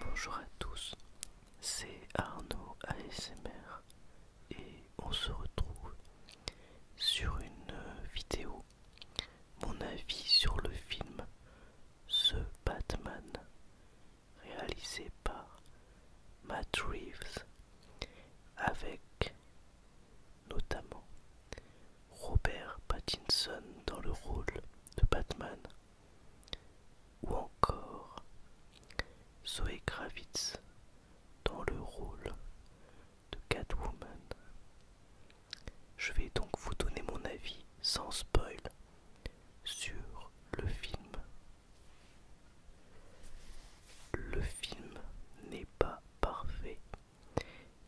Bonjour à tous, c'est Arnaud ASMR et on se retrouve sur une vidéo, mon avis sur le film The Batman réalisé par Matt Reeves, avec notamment Robert Pattinson dans le rôle de Batman, ou encore Zoe Kravitz dans le rôle de Catwoman. Je vais donc vous donner mon avis sans spoil sur le film le film n'est pas parfait,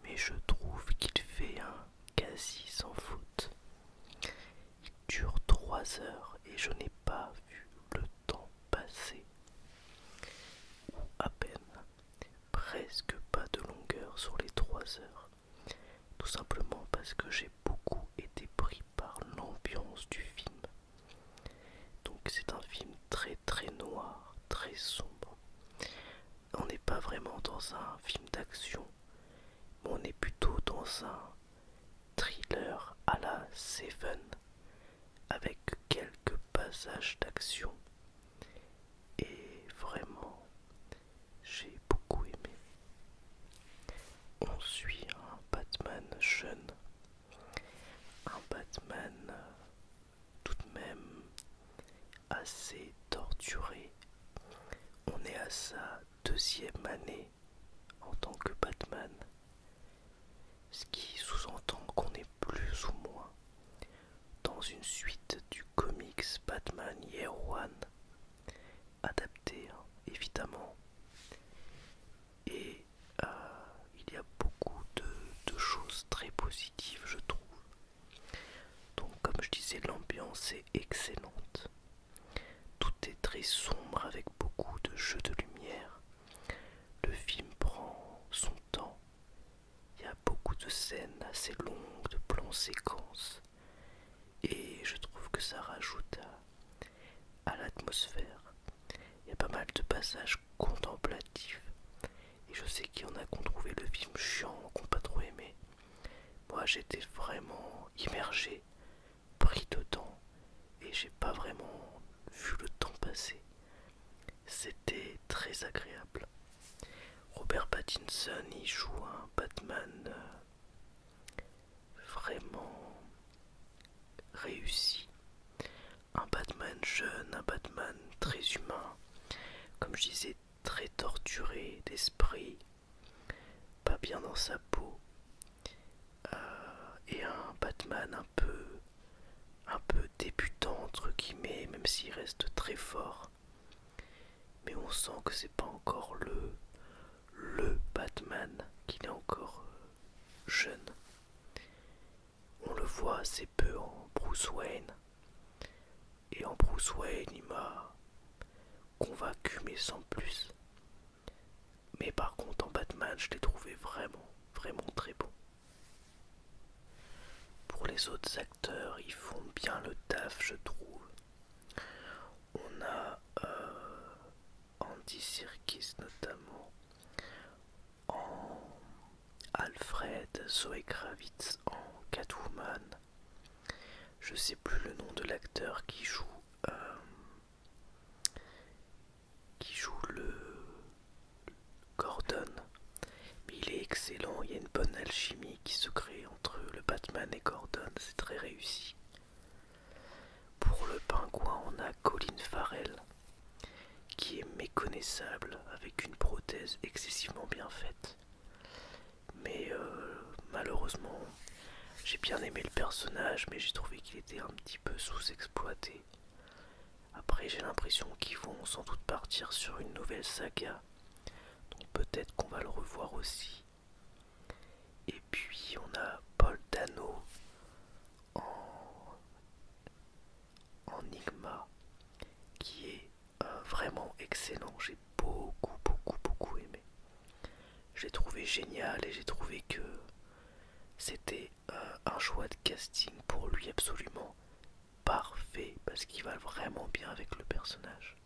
mais je trouve qu'il fait un quasi sans faute. Il dure trois heures et je n'ai pas vu le temps passer. Ou à peine. Presque pas de longueur sur les trois heures. Tout simplement parce que j'ai beaucoup été pris par l'ambiance du film. Donc c'est un film très très noir, très sombre. On n'est pas vraiment dans un film d'action, mais on est plutôt dans un thriller à la Seven avec quelques passages d'action. Et vraiment, j'ai beaucoup aimé. On suit un Batman jeune, un Batman euh, tout de même assez torturé. On est à sa deuxième année en tant que Batman, ce qui sous-entend qu'on est plus ou moins dans une suite du comics Batman Year One adapté, hein, évidemment. Et euh, il y a beaucoup de, de choses très positives, je trouve. Donc, comme je disais, l'ambiance est excellente. Tout est très sombre avec beaucoup de jeux de lumière. Le film prend son temps. Il y a beaucoup de scènes assez longues, de plans séquences et je trouve que ça rajoute à, l'atmosphère. Il y a pas mal de passages contemplatifs et je sais qu'il y en a qu'on ont trouvé le film chiant, qu'on n'a pas trop aimé. Moi j'étais vraiment immergé, pris dedans et j'ai pas vraiment vu le temps passer. C'était très agréable. Robert Pattinson y joue un Batman euh, vraiment réussi. Un Batman jeune, un Batman très humain, comme je disais, très torturé d'esprit, pas bien dans sa peau, euh, et un Batman un peu, un peu débutant entre guillemets, même s'il reste très fort. Mais on sent que c'est pas encore le le Batman, qu'il est encore euh, jeune. On le voit assez peu en Bruce Wayne. Et en Bruce Wayne, il m'a convaincu, mais sans plus. Mais par contre, en Batman, je l'ai trouvé vraiment, vraiment très bon. Pour les autres acteurs, ils font bien le taf, je trouve. On a euh, Andy Serkis notamment, en Alfred, Zoe Kravitz en Catwoman. Je ne sais plus le nom de l'acteur qui joue euh, qui joue le Gordon mais il est excellent, il y a une bonne alchimie qui se crée entre le Batman et Gordon, c'est très réussi. Pour le pingouin, on a Colin Farrell, qui est méconnaissable avec une prothèse excessivement bien faite. Mais euh, malheureusement, j'ai bien aimé le personnage, mais j'ai trouvé qu'il était un petit peu sous-exploité. Après, j'ai l'impression qu'ils vont sans doute partir sur une nouvelle saga donc peut-être qu'on va le revoir aussi. Et puis on a Paul Dano en, Enigma qui est vraiment excellent. J'ai beaucoup, beaucoup, beaucoup aimé. J'ai trouvé génial et j'ai trouvé que c'était un choix de casting pour lui absolument parfait parce qu'il va vraiment bien avec le personnage.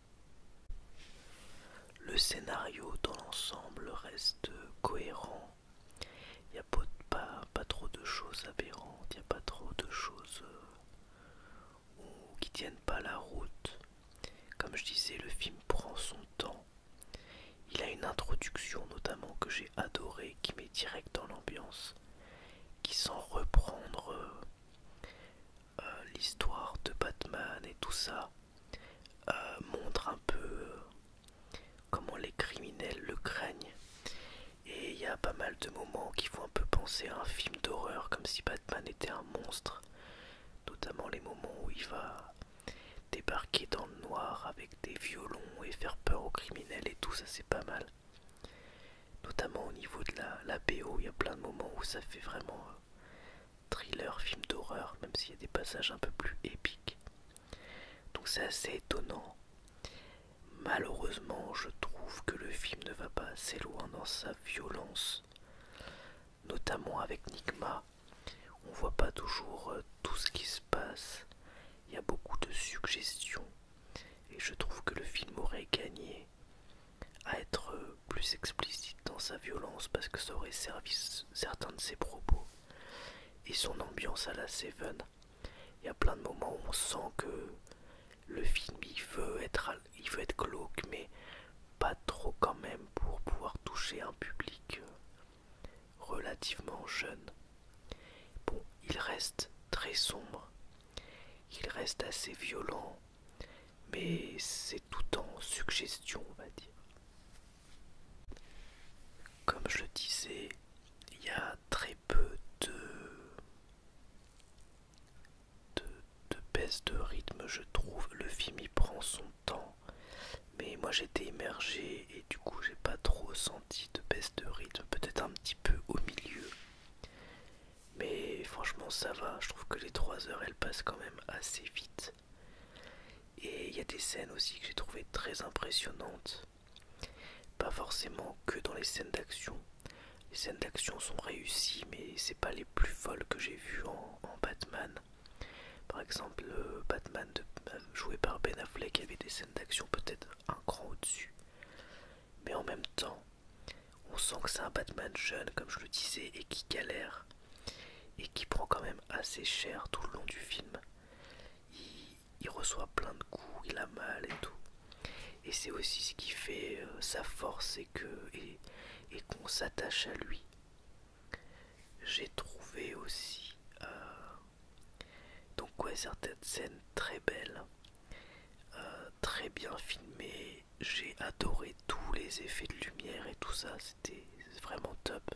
Le scénario dans l'ensemble reste cohérent. Il n'y a pas, trop de choses aberrantes, il n'y a pas trop de choses euh, qui tiennent pas la route. Comme je disais, le film prend son temps. Il a une introduction notamment que j'ai adorée, qui met direct dans l'ambiance qui sans reprendre euh, euh, l'histoire de Batman et tout ça euh, montre un peu comment les criminels le craignent et il y a pas mal de moments qui font un peu penser à un film d'horreur comme si Batman était un monstre notamment les moments où il va débarquer dans le noir avec des violons et faire peur aux criminels et tout ça c'est pas mal Notamment au niveau de la, BO, il y a plein de moments où ça fait vraiment euh, thriller, film d'horreur, même s'il y a des passages un peu plus épiques. Donc c'est assez étonnant. Malheureusement, je trouve que le film ne va pas assez loin dans sa violence, notamment avec Nigma. On voit pas toujours euh, tout ce qui se passe. Il y a beaucoup de suggestions et je trouve que le film aurait gagné à être euh, plus explicite dans sa violence parce que ça aurait servi certains de ses propos. Et son ambiance à la Seven, il y a plein de moments où on sent que le film il veut être, il veut être glauque mais pas trop quand même pour pouvoir toucher un public euh, relativement jeune. Bon, il reste très sombre, il reste assez violent, mais c'est tout en suggestion, on va dire. Comme je le disais, il y a très peu de, de, de baisse de rythme, je trouve. Le film y prend son temps, mais moi j'étais immergé et, du coup j'ai pas trop senti de baisse de rythme, peut-être un petit peu au milieu. Mais franchement ça va, je trouve que les 3 heures elles passent quand même assez vite. Et il y a des scènes aussi que j'ai trouvées très impressionnantes. Pas forcément que dans les scènes d'action. Les scènes d'action sont réussies, mais c'est pas les plus folles que j'ai vues en, Batman. Par exemple, euh, Batman de joué par Ben Affleck avait des scènes d'action peut-être un cran au-dessus. Mais en même temps, on sent que c'est un Batman jeune, comme je le disais, et qui galère, et qui prend quand même assez cher tout le long du film. Il, reçoit plein de coups, il a mal et tout. Et c'est aussi ce qui fait euh, sa force et qu'on et, s'attache à lui. J'ai trouvé aussi euh, donc certaines scènes très belles, euh, très bien filmées. J'ai adoré tous les effets de lumière et tout ça, c'était vraiment top.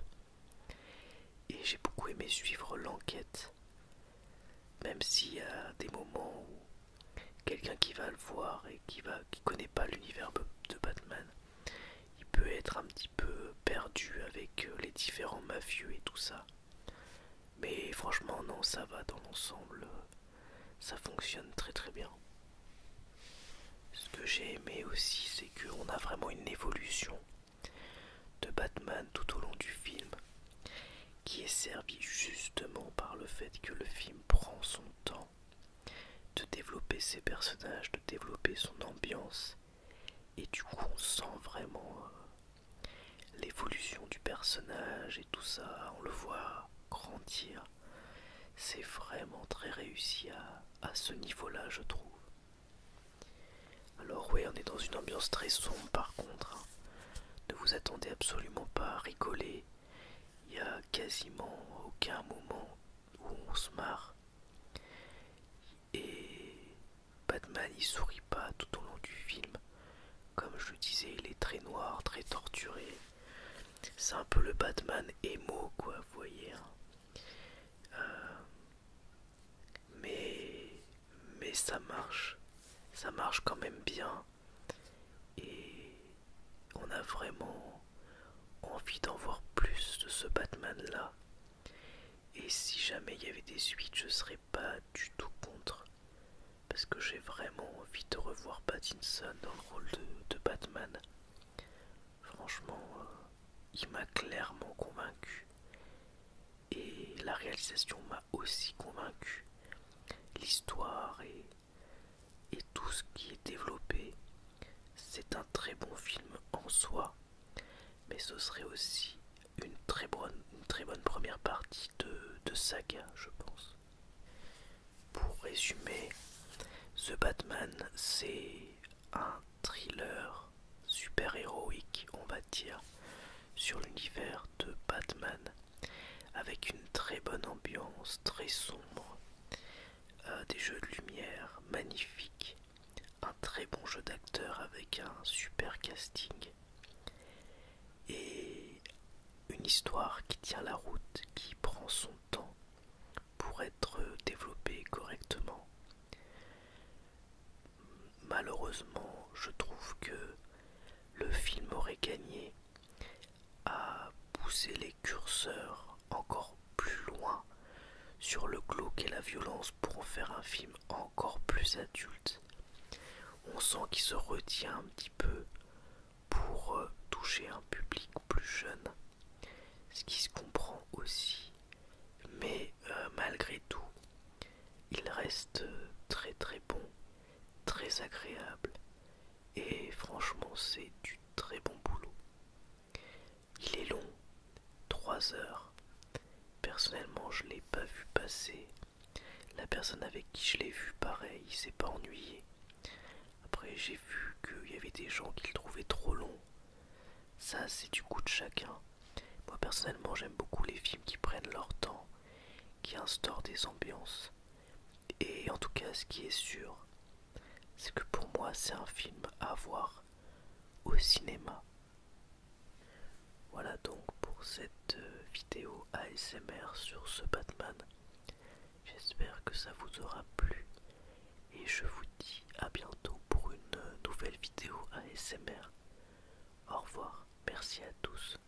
Et j'ai beaucoup aimé suivre l'enquête, même s'il y a des moments où quelqu'un qui va le voir et qui va qui connaît pas l'univers de Batman il peut être un petit peu perdu avec euh, les différents mafieux et tout ça. Mais franchement non, ça va dans l'ensemble, ça fonctionne très très bien. Ce que j'ai aimé aussi, c'est qu'on a vraiment une évolution de Batman tout au long du film, qui est servie justement par le fait que le film prend son temps de développer ses personnages, de développer son ambiance, et du coup, on sent vraiment euh, l'évolution du personnage et tout ça. On le voit grandir. C'est vraiment très réussi à, à ce niveau-là, je trouve. Alors oui, on est dans une ambiance très sombre par contre. Hein. Ne vous attendez absolument pas à rigoler. Il n'y a quasiment aucun moment où on se marre. Et Batman il sourit pas tout au long du film. Comme je le disais, il est très noir, très torturé. C'est un peu le Batman émo, quoi, vous voyez. Hein. Euh, mais, mais ça marche. Ça marche quand même bien. Et on a vraiment envie d'en voir plus de ce Batman-là. Et si jamais il y avait des suites, je serais pas du tout contre. Parce que j'ai vraiment envie de revoir Pattinson dans le rôle de, Batman. Franchement, euh, il m'a clairement convaincu. Et la réalisation m'a aussi convaincu. L'histoire est et tout ce qui est développé. C'est un très bon film en soi, mais ce serait aussi une très bonne, première partie de, de saga, je pense. Pour résumer, The Batman, c'est un thriller super-héroïque, on va dire, sur l'univers de Batman, avec une très bonne ambiance, très sombre, euh, des jeux de lumière magnifiques, un très bon jeu d'acteur avec un super casting et une histoire qui tient la route, qui prend son temps pour être développée correctement. Malheureusement, je trouve que le film aurait gagné à pousser les curseurs encore plus loin sur le glauque et la violence pour en faire un film encore plus adulte. On sent qu'il se retient un petit peu pour euh, toucher un public plus jeune, ce qui se comprend aussi. Mais euh, malgré tout, il reste euh, très très bon, très agréable et franchement c'est du très bon boulot. Il est long, 3 heures. Personnellement je l'ai pas vu passer. La personne avec qui je l'ai vu pareil, il s'est pas ennuyé. Après j'ai vu qu'il y avait des gens qui le trouvaient trop long. Ça c'est du goût de chacun. Moi personnellement j'aime beaucoup les films qui prennent leur temps, qui instaurent des ambiances. Et en tout cas, ce qui est sûr, c'est que pour moi, c'est un film à voir au cinéma. Voilà donc pour cette euh, vidéo ASMR sur ce Batman. J'espère que ça vous aura plu et je vous dis à bientôt pour une euh, nouvelle vidéo ASMR. Au revoir, merci à tous.